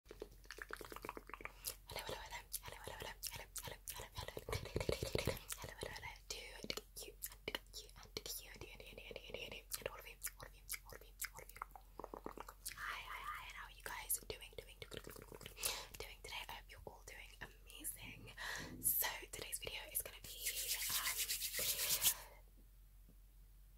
Hello, hello, hello, hello, hello, hello, hello, hello, hello, hello, hello, hello, hello, to you how are you guys doing, doing, doing today? I hope you're all doing amazing. So today's video is gonna be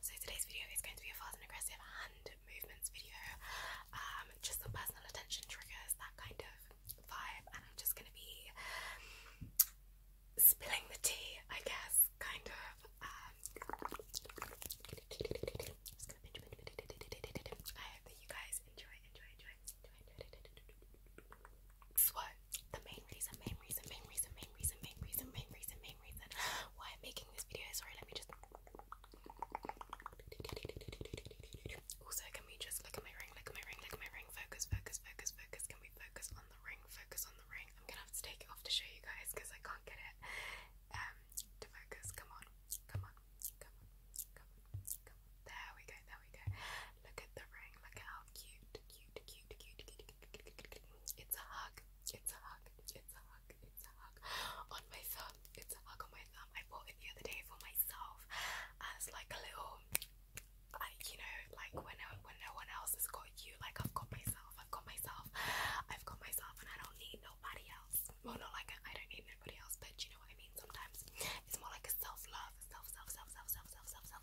So today's video is going to be a fast and aggressive hand movements video. just some personal attention triggers, that kind of vibe, and I'm just gonna be spilling the tea, I guess, kind of. I hope that you guys enjoy, enjoy, enjoy, enjoy, enjoy. So the main reason, main reason, main reason, main main reason, main reason, main reason, main reason why I'm making this video. Sorry, let me just. Also, can we just look at my ring? Look at my ring. Look at my ring. Focus, focus, focus, focus. Can we focus on the ring? Focus on the ring. I'm gonna have to take it off to show you guys because I can't get it um to focus. Come on, come on, come on, come on, There we go. There we go. Look at the ring. Look at how cute, cute, cute, cute, cute. cute, cute, cute, cute, cute. It's a hug. It's a hug. It's a hug. It's a hug on my thumb. It's a hug on my thumb. I bought it the other day for myself as like a little, I, you know, like when no, when no one else has got you. Like I've got myself. I've got myself. I've got myself, and I don't need nobody else. Well, not like I don't need nobody else, but you know what I mean. Sometimes it's more like a self love, self, self, self, self, self, self, self.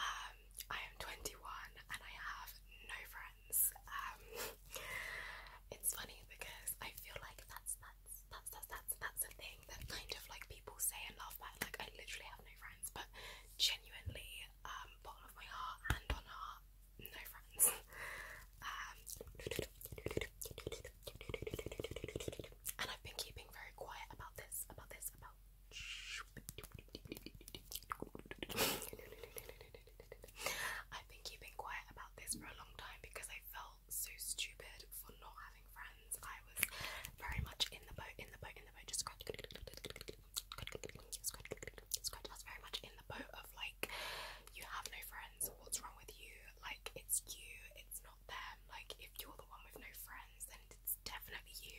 um, I am 21 and I have no friends. Um, it's funny because I feel like that's that's that's that's that's that's a thing that kind of like people say and laugh at. Like I literally have no friends, but genuinely, um, bottom of my heart, hand on heart, no friends. Um, and I've been keeping very quiet about this, about this, about I've been keeping quiet about this for a long time because I felt so stupid for not having friends. I was very much in the boat, in the boat, in the boat, just scratch, scratch, scratch. I was very much in the boat of like, you have no friends, what's wrong with you? Like, it's you, it's not them. Like, if you're the one with no friends, then it's definitely you.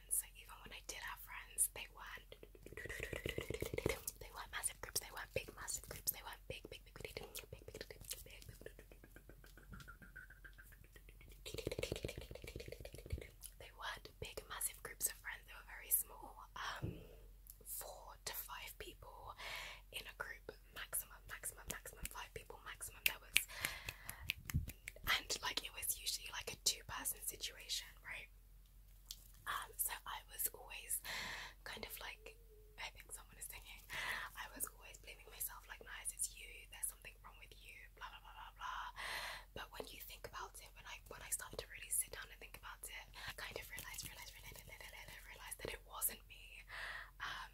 friends. So even when I did have friends, they weren't they weren't massive groups, they weren't big massive groups, they weren't big, big, big, big, big, big, big, big, big, big. They weren't big massive groups of friends, they were very small. Um four to five people in a group, maximum, maximum, maximum, five people, maximum. There was and like it was usually like a two-person situation, right? Um, so I was always kind of like I think someone is singing. I was always blaming myself, like nice, it's you, there's something wrong with you, blah blah blah blah blah. But when you think about it, when I when I started to really sit down and think about it, I kind of realized, realized, realized, realized, realized that it wasn't me. Um,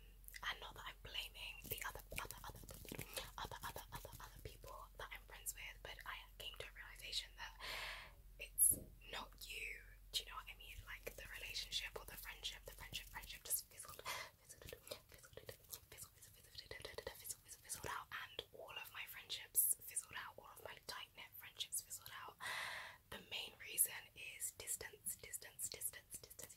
and not that I'm blaming the other, other, other, other, other, other people that I'm friends with, but I came to a realization that it's not you. Do you know what I mean? Like the relationship or the friendship, the friendship, friendship just fizzled, fizzled, fizzled, fizzled, fizzled, fizzled, fizzled out, and all of my friendships fizzled out. All of my tight knit friendships fizzled out. The main reason is distance, distance, distance, distance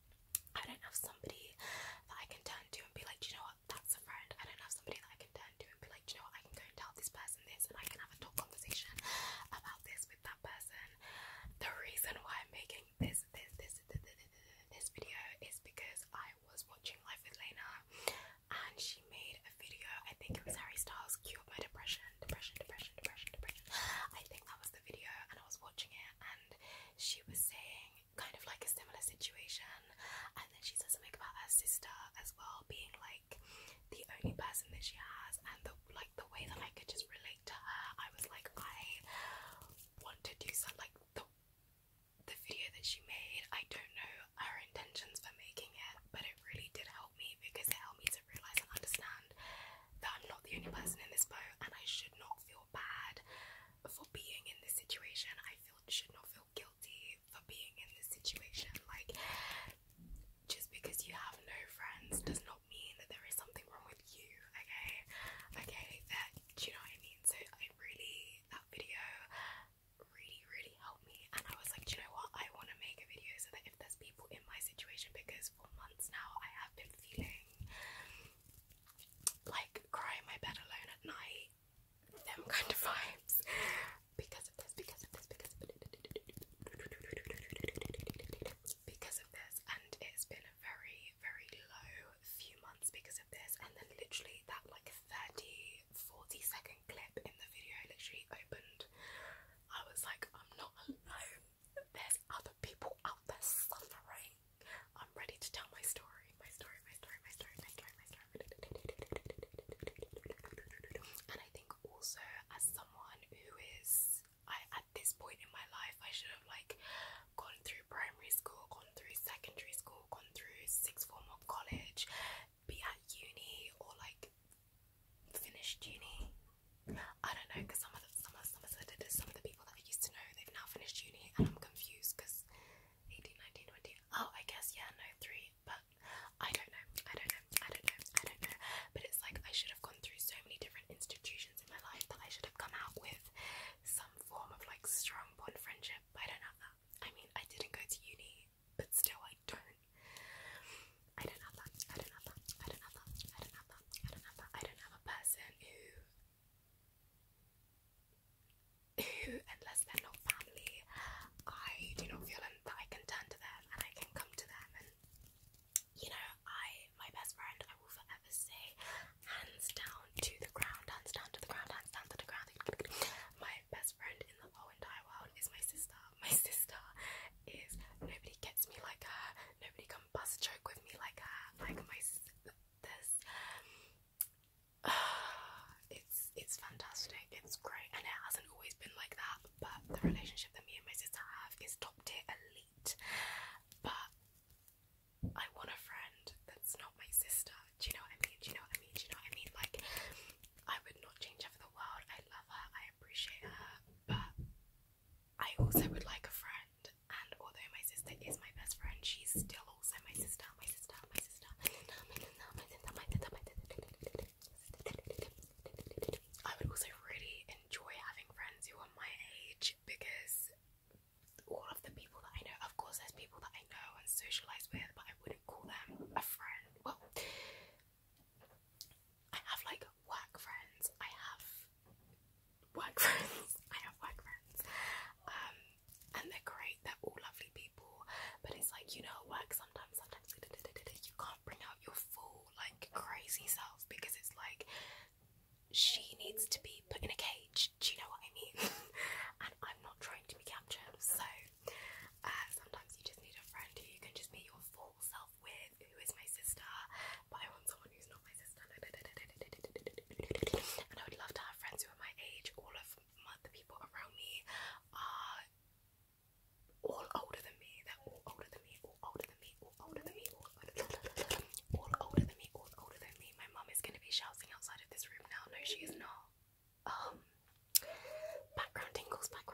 I don't have somebody that I can turn to and be like, you know what, that's a friend. I don't have somebody that I can turn to and be like, you know what, I can go and tell this person this and I can have a talk conversation about this with that person. The reason why I'm making this, this, this, this, this, video is because I was watching Life with Lena and she made a video, I think it was Harry Styles, Cure My Depression, Depression, Depression, Depression, Depression. I think that was video and I was watching it and she was saying kind of like a similar situation and then she said something about her sister as well being like the only person that she has and the like the way that I could just relate to her I was like I want to do something like the the video that she made I don't know her intentions for making it but it really did help me because it helped me to realise and understand that I'm not the only person in this boat and I should not feel bad for being in this situation. I feel should not feel guilty for being in this situation. Like just because you have no friends does not mean that there is something wrong with you, okay? Okay, that do you know what I mean? So I really that video really, really helped me and I was like, do you know what? I wanna make a video so that if there's people in my situation because months now, I have been feeling like crying my bed alone at night, them kind of vibes because of this, because of this, because of this, because of this, and it's been a very, very low few months because of this, and then literally that like 30 40 second clip in the video literally opened. I was like, I'm not alone there's other people out there suffering. I'm ready to tell my story, my story, my story, my story, my story, my story. And I think also as someone who is, I at this point in my life, I should have like gone through primary school, gone through secondary school, gone through sixth form or college, be at uni or like finished uni I don't know because some of the, some of some of the some of the people that I used to know they've now finished uni and I'm confused because 18, 19, 20. Oh, I guess yeah, no three, but I don't know, I don't know, I don't know, I don't know. But it's like I should have gone through so many different institutions in my life that I should have come out with some form of like strong bond friendship. But I don't have that. I mean, I didn't go to uni, but still, I don't. I don't have I don't have I don't have I don't have I don't have I don't have a person who, who, unless they're not family, I do not feel that I can turn to them and I can come to them. And you know, I, my best friend, I will forever say, hands down to the ground, hands down to the ground, hands down to the ground. My best friend in the whole entire world is my sister. My sister is nobody gets me like her, nobody can bust a joke with me like her, like my sisters. it's it's fantastic, it's great, and it hasn't always been like that, but the relationship that me and my sister have is top tier elite. But I want a friend that's not my sister. Do you know what I mean? Do you know what I mean? Do you know what I mean? Like I would not change her for the world. I love her, I appreciate her, but I also would like a friend, and although my sister is my best friend, she's still also my sister, my sister, my sister, I would also really enjoy having friends who are my age because all of the people that I know, of course, there's people that I know and socialize with, but I wouldn't call them a friend. Well, I have like work friends. I have work friends. I have work friends. Um, and they're great. They're all lovely people. But it's like you know, at work sometimes, sometimes you can't bring out your full like crazy self because it's like she needs to be put in a cage. Do you know what I mean? and I'm not trying to be captured. So uh, sometimes you just need a friend who you can just be your full self with, who is my sister, but I want someone who's not my sister. And I would love to have friends who are my age. All of my, the people around me are all older than me. They're all older than me, all older than me, all older than me, all older than me, all older than me, all older than me. My mum is going to be shouting outside of this room now. No, she is not. Um, background tingles, background.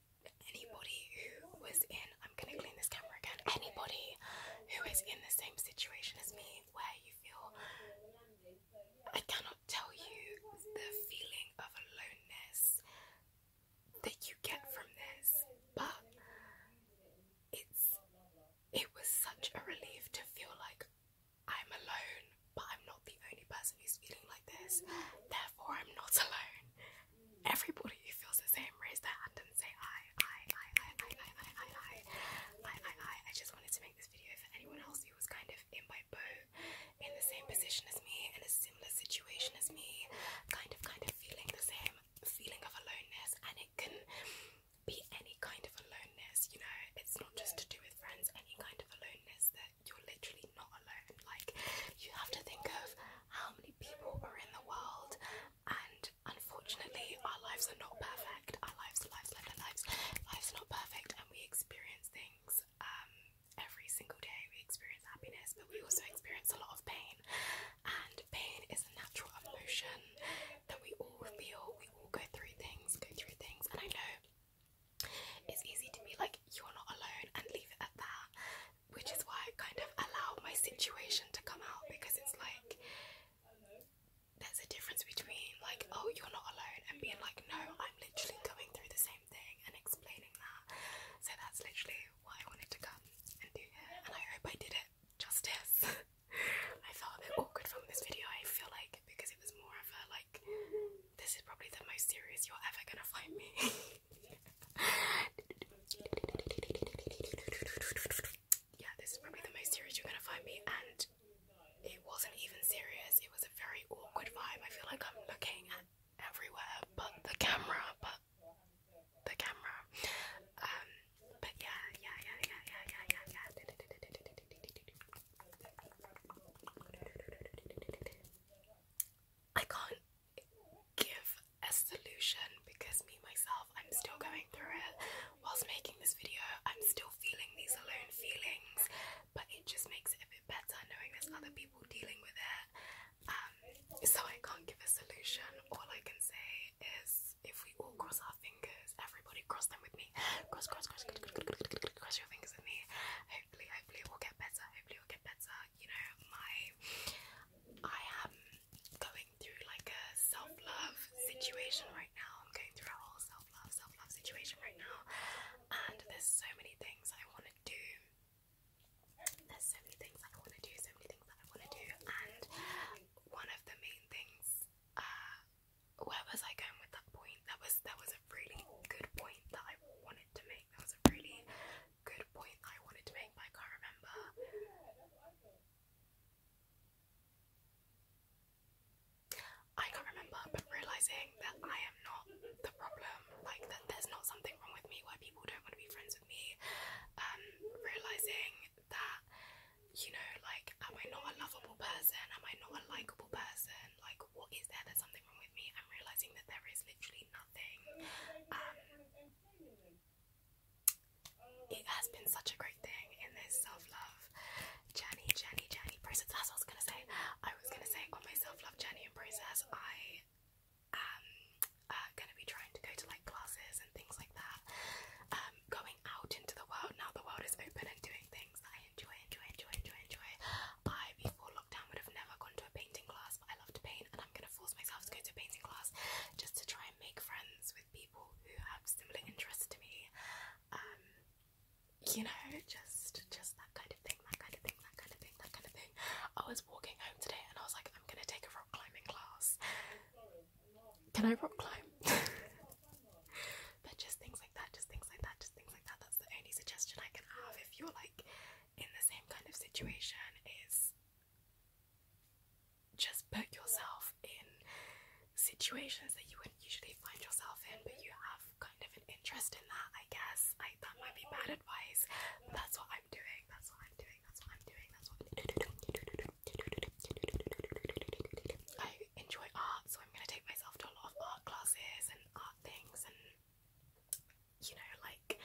anybody who was in, I'm gonna clean this camera again. Anybody who is in the same situation as me, where you feel I cannot tell you the feeling of aloneness that you get from this, but it's it was such a relief to feel like I'm alone, but I'm not the only person who's feeling like this, therefore, I'm not alone everybody who feels the same raise their hand and say I, I, I, I, I, I, I, I, I, I, I, I. just wanted to make this video for anyone else who was kind of in my boat, in the same position as me, in a similar situation as me, kind of, kind of feeling the same feeling of aloneness, and it can be any kind of aloneness, you know, it's not just to do with friends, any kind of aloneness that you're literally not alone. Like, you have to think of how many people are in the world, and unfortunately, our lives are not perfect. Our lives, lives, lives, lives, lives are not perfect, and we experience things um, every single day. We experience happiness, but we also experience a lot of pain, and pain is a natural emotion that we all feel. We all go through things, go through things, and I know. It's easy to be like, you're not alone, and leave it at that which is why I kind of allow my situation to come out because it's like there's a difference between like oh you're not alone and being like no I'm literally going through the same thing and explaining that so that's literally why I wanted to come and do it, and I hope I did it justice I felt a bit awkward from this video I feel like because it was more of a like this is probably the most serious you're ever gonna find me yeah, this is probably the most serious you're gonna find me, and it wasn't even serious. It was a very awkward vibe. I feel like I'm looking everywhere but the camera, but the camera. Um, but yeah, yeah, yeah, yeah, yeah, yeah, yeah. I can't give a solution because me myself I'm still going through it whilst making this video I'm still feeling these alone feelings but it just makes it a bit better knowing there's other people dealing with it um, so I can't give a solution all I can say is if we all cross our fingers everybody cross them with me cross cross, cross, cross, cross your fingers with me hopefully hopefully it will get better hopefully it will get better you know, my I am going through like a self-love situation right now. I'm going through a whole self-love, self-love situation right now. And there's so many things I wanna do. There's so many things I wanna do, so many things that I wanna do, and one of the main things uh, where was I going with that point? That was that was a really good point that I wanted to make. That was a really good point I wanted to make, but I can't remember. I can't remember, but realizing that I am not the problem, like that there's not something wrong with me where people don't want to be friends with me. Um, realizing that, you know, like, am I not a lovable person? Am I not a likable person? Like, what is there? There's something wrong with me. I'm realizing that there is literally nothing. Um, it has been such a great thing in this self-love journey, journey, journey process. That's what I was gonna say. I was gonna say on my self-love journey and process, I am uh, gonna be trying to go to like classes and things like that. Um, going out into the world now. The world is open and doing things that I enjoy, enjoy, enjoy, enjoy, enjoy. I before lockdown would have never gone to a painting class I love to paint, and I'm gonna force myself to go to painting class just to try and make friends with people who have similar interests to me. Um, you know, just just that kind of thing, that kind of thing, that kind of thing, that kind of thing. I was walking home today, and I was like, I'm gonna take a rock climbing class. Can I rock climb? but just things like that, just things like that, just things like that. That's the only suggestion I can have. If you're like in the same kind of situation is just put yourself in situations that you wouldn't usually find yourself in, but you have kind of an interest in that, I guess. I, that might be bad advice, but that's what I'm doing. That's what I'm doing. That's what I'm doing. That's what I enjoy art, so I'm gonna take myself to a lot of art classes and art things and you know, like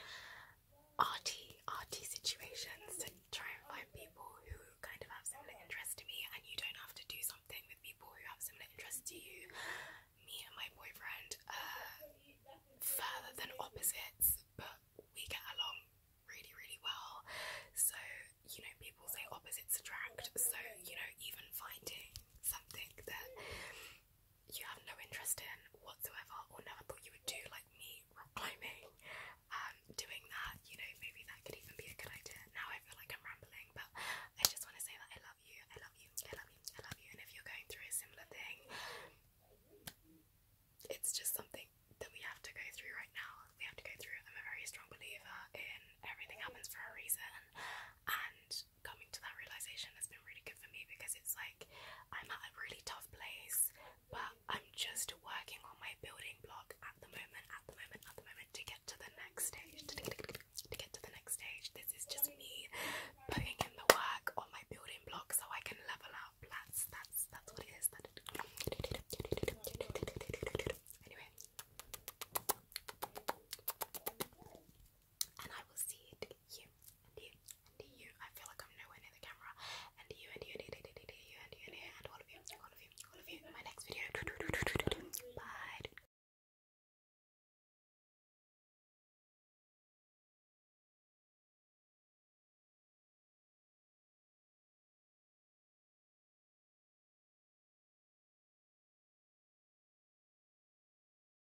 arty, arty situations to try and find people who kind of have similar interests to me, and you don't have to do something with people who have similar interests to you. Me and my boyfriend are further than opposites, but we get along really, really well. So, you know, people say opposites attract, so you know, even finding something that you have no interest in whatsoever or never thought you would do, like me rock climbing, um, doing that, you know, maybe that could even be a good idea. Now I feel like I'm rambling, but I just want to say that I love you, I love you, I love you, I love you, and if you're going through a similar thing, it's just something that we have to go through right now. We have to go through. I'm a very strong believer in everything happens for a reason, and coming to that realization has been really good for me because it's like I'm at a really tough place, but I'm just working on my building block at the moment, at the moment, at the moment to get to the next stage. To get to the next stage, this is just me putting in the work on my building block so I can level up. That's that's that's what it is. Anyway, and I will see you you you you. I feel like I'm nowhere near the camera. and you and you and you and you and you and all of you, all of you, all of you. In my next video. Bye.